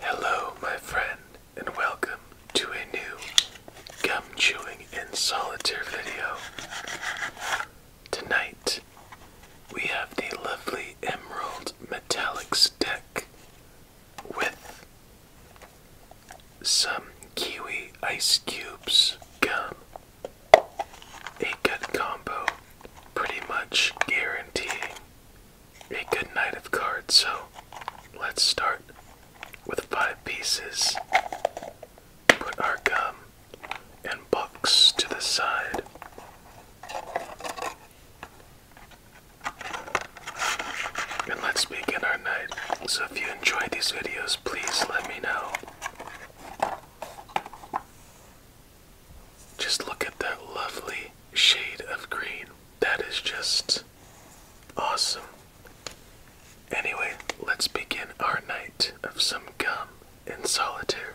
Hello, my friend, and welcome to a new gum chewing and solitaire video. Tonight, we have the lovely Emerald metallic stick with some kiwi ice cubes gum. A good combo, pretty much guaranteeing a good night of cards, so let's start with five pieces. Put our gum and box to the side. And let's begin our night. So if you enjoy these videos, please let me know. Just look at that lovely shade of green. That is just awesome. Anyway, let's begin our night of some gum and solitaire.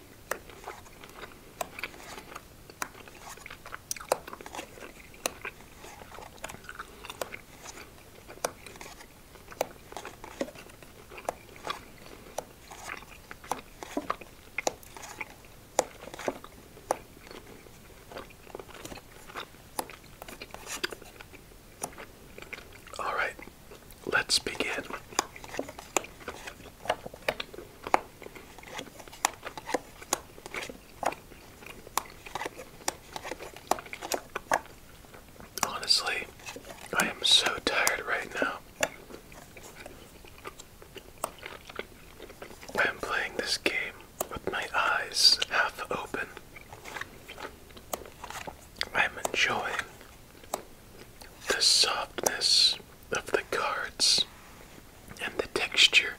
All right, let's begin. Honestly, I am so tired right now. I am playing this game with my eyes half open. I am enjoying the softness of the cards and the texture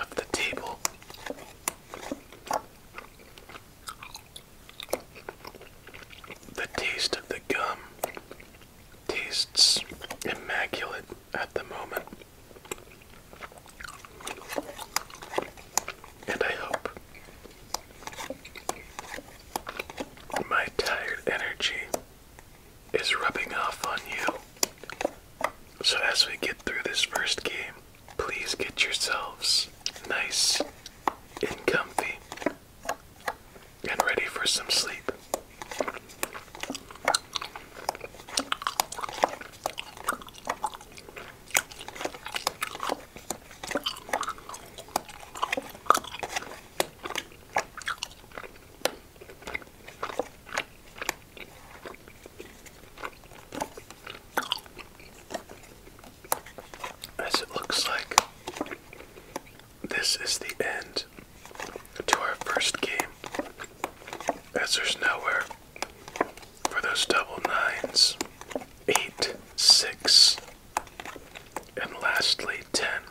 of the table. The taste of the gum tastes immaculate at the moment. And I hope my tired energy is rubbing off on you. So, as we get through this first game, please get yourselves nice and comfy and ready for some sleep. As it looks like this is the end to our first game, as there's nowhere for those double nines, eight, six, and lastly ten.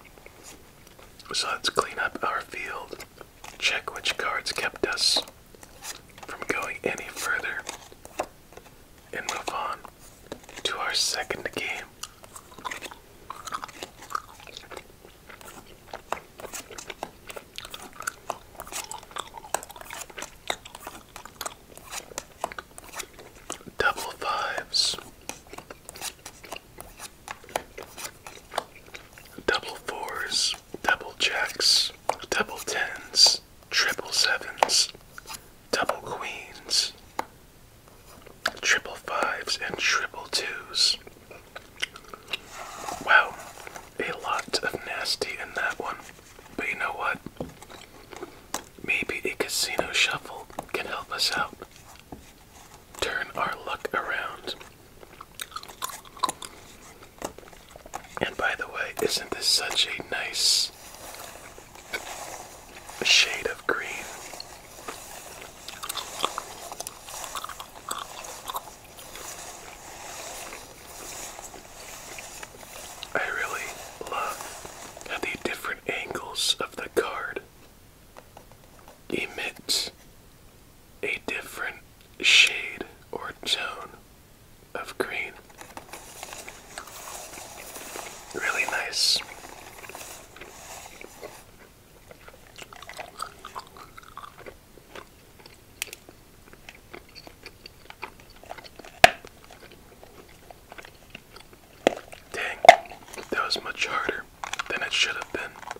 So let's clean up our field, check which cards kept us from going any further, and move on to our second game. Double fives double fours, double jacks, double tens, triple sevens, double queens, triple fives, and triple twos. Wow, a lot of nasty in that one. But you know what? Maybe a casino shuffle can help us out turn our luck around. And by the way, isn't this such a nice shade of green? I really love the different angles of the card emits a different shade or tone of green. Really nice. Dang, that was much harder than it should have been.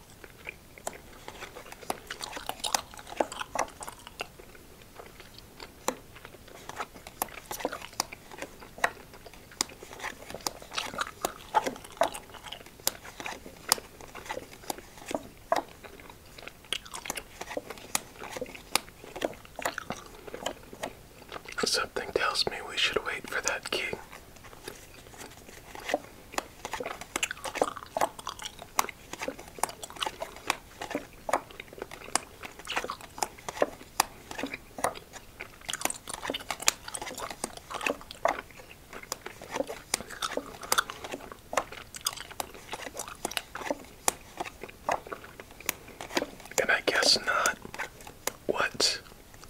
Something tells me we should wait for that key. And I guess not. What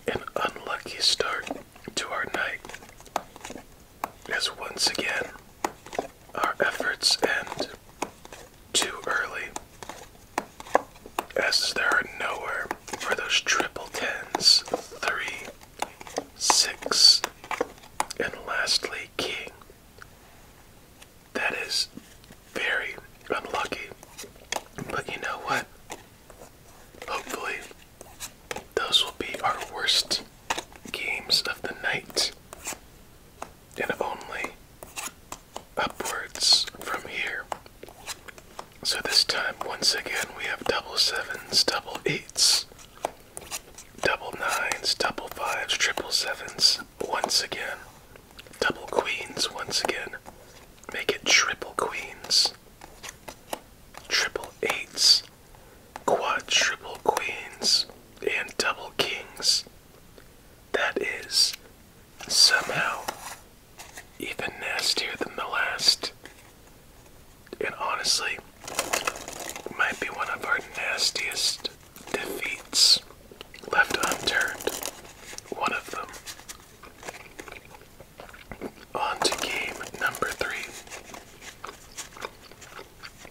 an unlucky start to our night. As once again our efforts end too early, as there are nowhere for those triple tens, three, six, and lastly, king. That is very unlucky. But you know what? Hopefully, those will be our worst games of the night. And only upwards from here. So this time, once again, we have double sevens, double eights, double nines, double fives, triple sevens, once again, double queens, once again. Make it triple queens, triple eights, quadruple queens, and double kings. That is somehow even nastier than the last. And honestly, might be one of our nastiest defeats left unturned. One of them. On to game number three.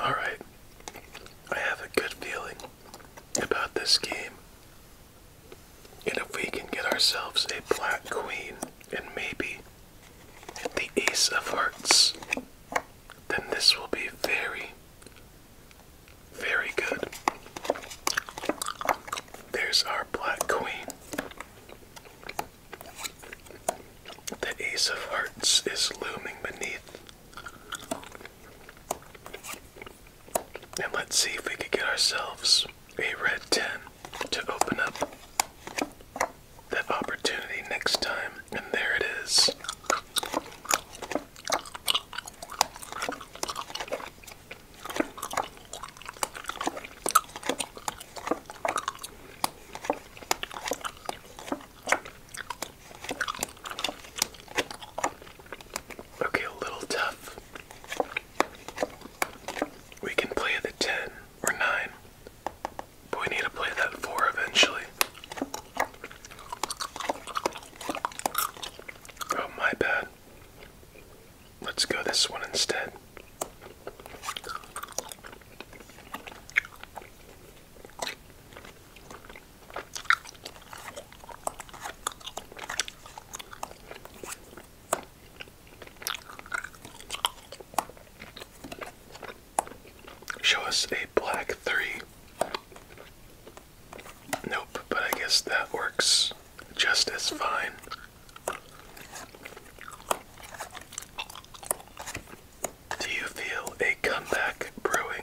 All right. I have a good feeling about this game. And if we can get ourselves a black queen and maybe the ace of hearts, then this will be very, very good. There's our Black Queen. The Ace of Hearts is looming beneath. And let's see if we could get ourselves a red 10 to open up that opportunity next time. And there it is. Okay, a little tough. We can play the 10 or 9, but we need to play that 4 eventually. Oh, my bad. Let's go this one instead. Show us a black three. Nope, but I guess that works just as fine. Do you feel a comeback brewing?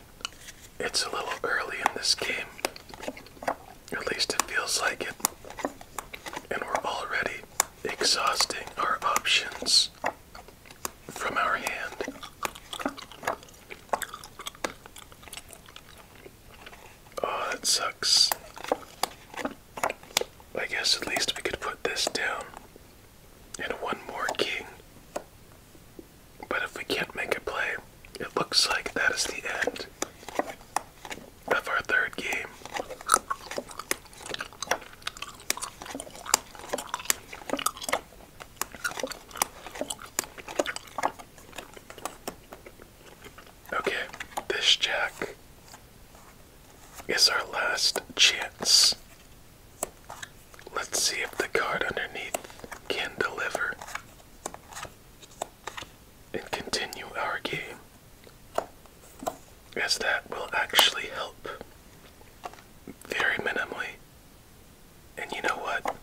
It's a little early in this game. At least it feels like it. And we're already exhausting our options from our hand. Oh, that sucks. I guess at least we could put this down. And one more king. But if we can't make it play, it looks like that is the end of our third game. Okay, this jack is our last chance. Let's see if the card underneath can deliver and continue our game, as that will actually help very minimally. And you know what?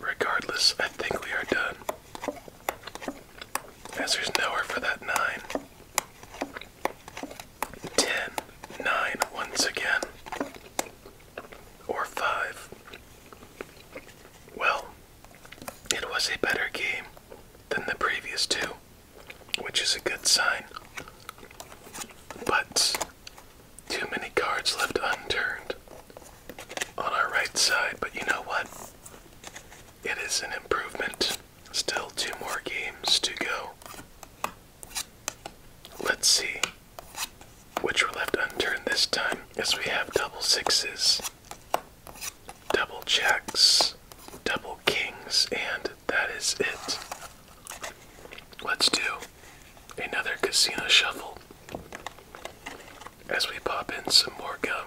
Regardless, I think we are done. As there's nowhere for that 9. 10, 9 once again. Or 5. Well, it was a better game than the previous two, which is a good sign. But too many cards left unturned on our right side, but you know what? It is an improvement. Still two more games to go. Let's see which were left unturned this time, as we have double sixes, double jacks, double kings, and that is it. Let's do another casino shuffle as we pop in some more gum.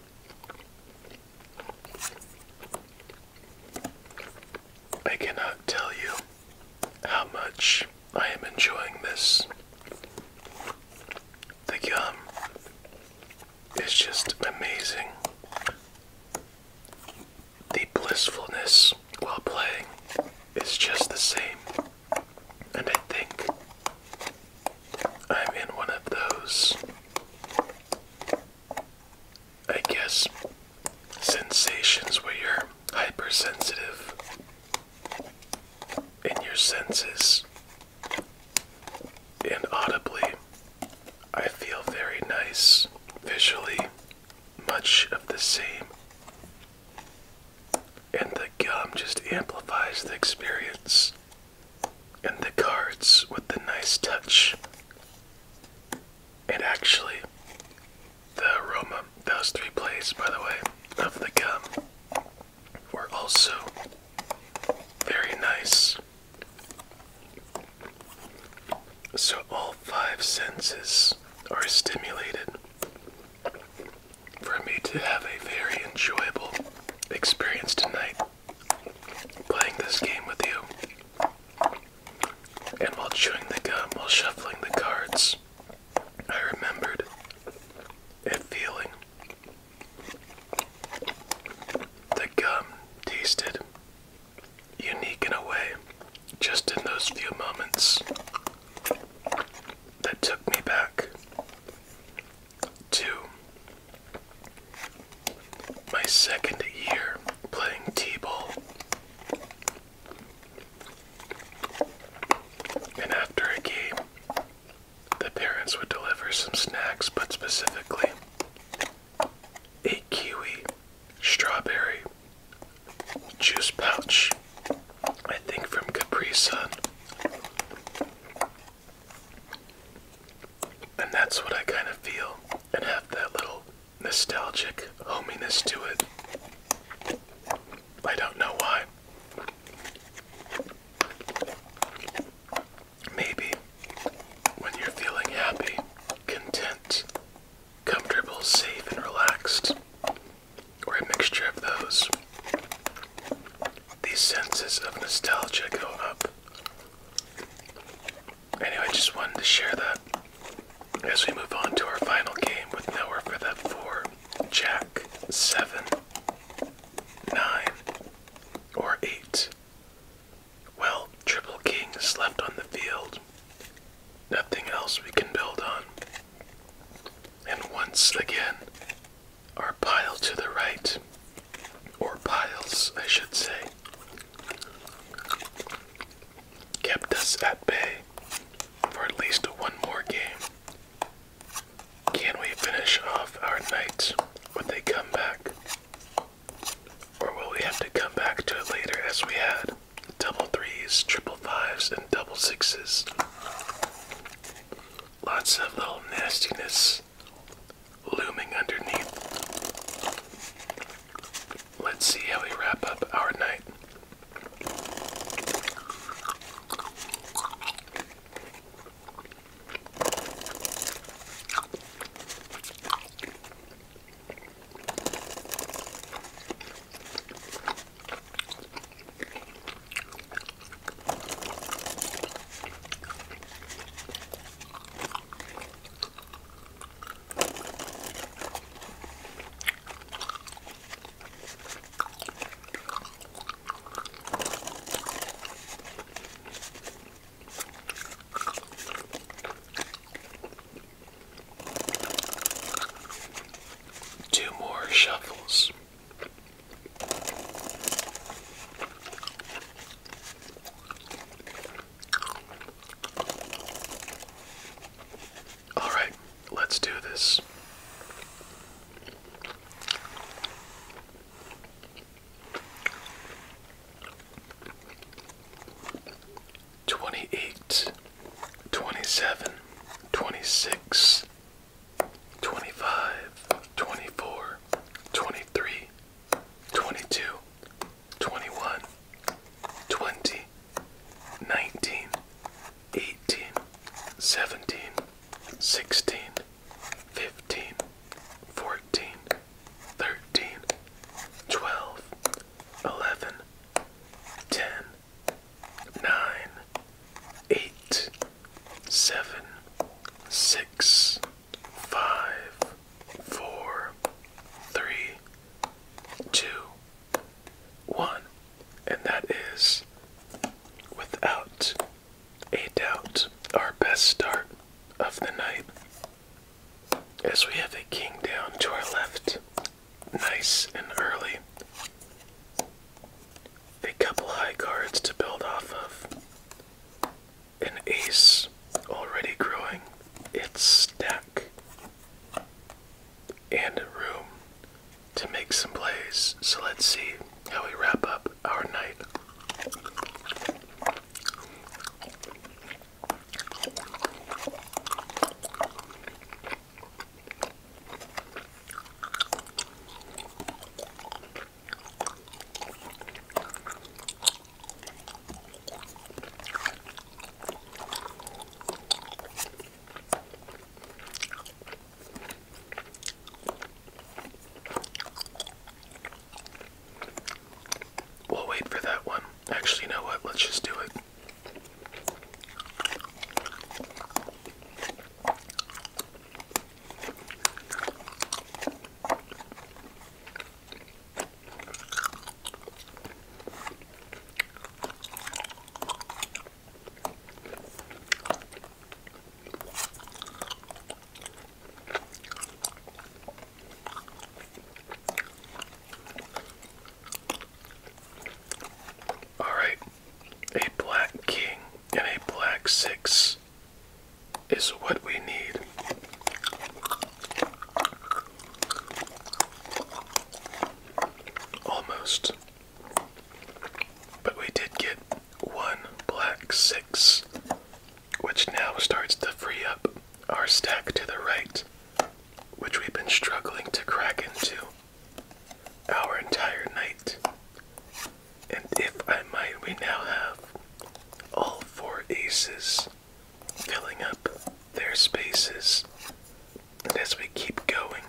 I cannot tell you how much I am enjoying this. The gum is just amazing. The blissfulness while playing is just the same. And I think I'm in one of those, I guess, sensations where you're hypersensitive in your senses. And audibly, I feel very nice visually, much of the same. And the gum just amplifies the experience and the cards with the nice touch. And actually, the aroma, those three plays, by the way, of the gum were also very nice. So all five senses are stimulated for me to have a very enjoyable experience tonight playing this game with you. And while chewing the gum, while shuffling the cards, I remembered a feeling. The gum tasted unique in a way, just in those few moments that took me back to my second year playing T-ball. And after a game, the parents would deliver some snacks, but specifically a kiwi strawberry juice pouch, I think from Capri Sun. And that's what I kind of feel and have that little nostalgic hominess to it. I don't know why. Maybe when you're feeling happy, content, comfortable, safe, and relaxed, or a mixture of those, these senses of nostalgia go up. Anyway, just wanted to share that as we move on to our final game with nowhere for that four, jack, seven, nine, or eight. Well, triple king is left on the field. Nothing else we can build on. And once again, our pile to the right, or piles, I should say, kept us at bay for at least one more game. Can we finish off our night when they come back? Or will we have to come back to it later as we had? Double threes, triple fives, and double sixes. Lots of little nastiness looming underneath. Let's see how we wrap up our night. Two more shuffles. All right, let's do this. Twenty eight, twenty seven, twenty six, 25, 24, 23, 22, 21, 20, 19, 18, 17, 16, 15, 14, 13, 12, 11, 10, 9, 8, seven, six, five, four, three, two, one, and that is without a doubt our best start of the night. As we have a king down to our left, nice and early. A couple high cards to build off of an ace already growing its stack and room to make some plays. So let's see how we wrap up our night. We'll wait for that one. Actually, you know what? Let's just do it. All right, a black king and a black six is what we need. Almost. But we did get one black six, which now starts to free up our stack to the right, which we've been struggling to crack into our entire night. And if I might, we now have all four aces filling up their spaces. And as we keep going,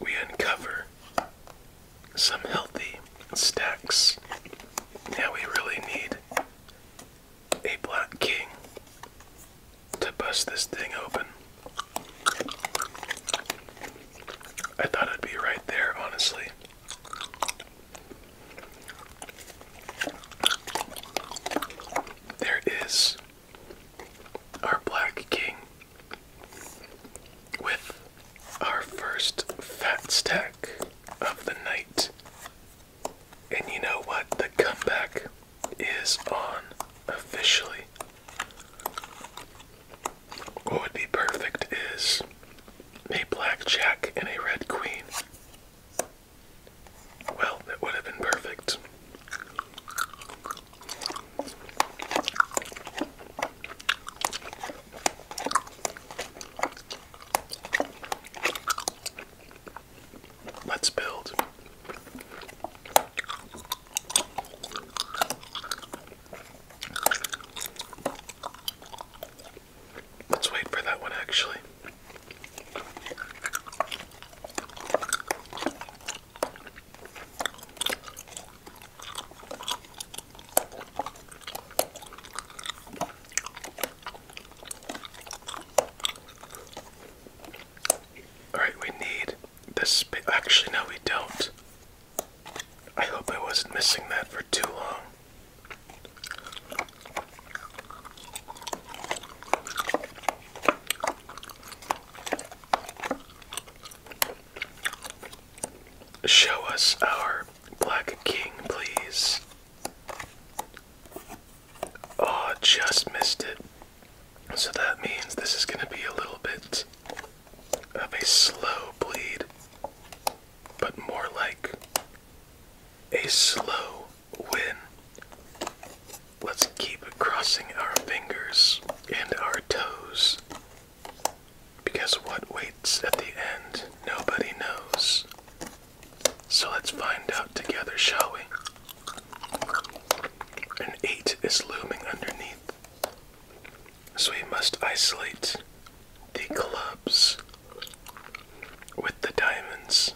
we uncover some healthy stacks. Now we really need a black king to bust this thing open. I thought it'd be right there, honestly. There is our black king with our first fat stack of the night. And you know what? The comeback is on officially. What would be perfect is a black jack and a red queen. Well, that would have been perfect. Let's build. Let's wait for that one actually. All right, we need this. Actually, no, we don't. I hope I wasn't missing that for too long. Show us our Black King, please. Oh, just missed it. So that means this is going to be a little bit of a slow bleed but more like a slow win. Let's keep crossing our fingers and our toes. Because what waits at the end, nobody knows. So let's find out together, shall we? An eight is looming underneath. So we must isolate the clubs with the diamonds.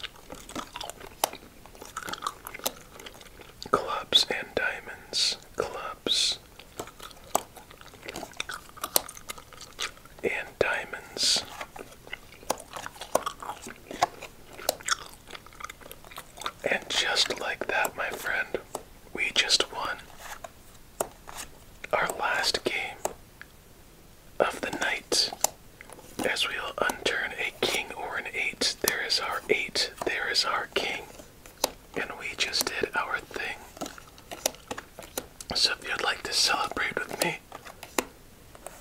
Clubs and diamonds. Clubs and diamonds. And just like that, my friend, we just won our last game of the night as we'll unturn a king or an eight. There is our eight, there is our king, and we just did our thing. So if you'd like to celebrate with me,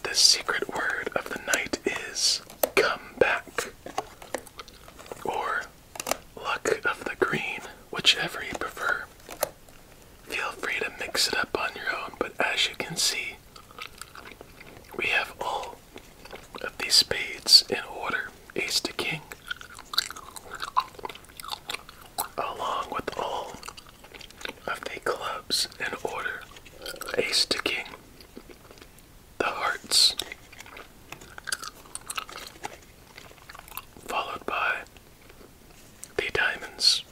the secret word of the night is come back or luck of the green, whichever you prefer. Feel free to mix it up on your own, but as you can see, we have all of these spades in order ace to king, along with all of the clubs in order ace to king, the hearts, followed by the diamonds,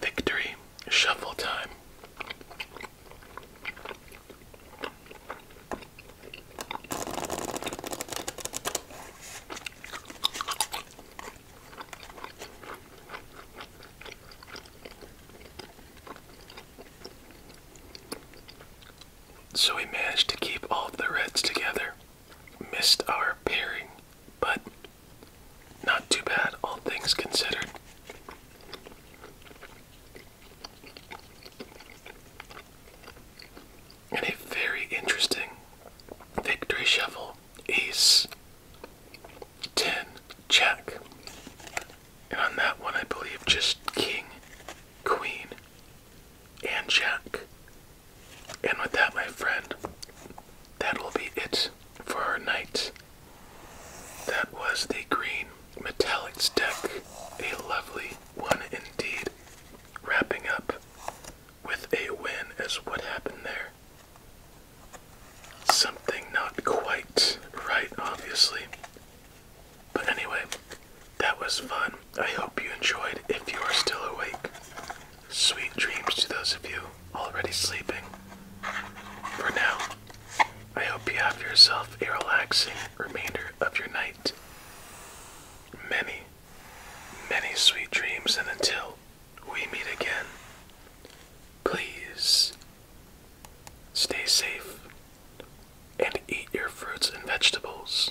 victory, shuffle time. So we managed to keep all the reds together missed our pairing, but not too bad, all things considered. And a very interesting victory shuffle ace 10 check. And on that one, I believe just king, queen, and Jack. And with that, my friend, that will be it for our night. That was the green metallics deck, a lovely one indeed, wrapping up with a win as what happened there. Something not quite right, obviously. But anyway, that was fun. I hope you enjoyed if you are still awake. Sweet dreams to those of you already sleeping. For now, I hope you have yourself a relaxing remainder of your night. Many, many sweet dreams, and until we meet again, please stay safe and eat your fruits and vegetables.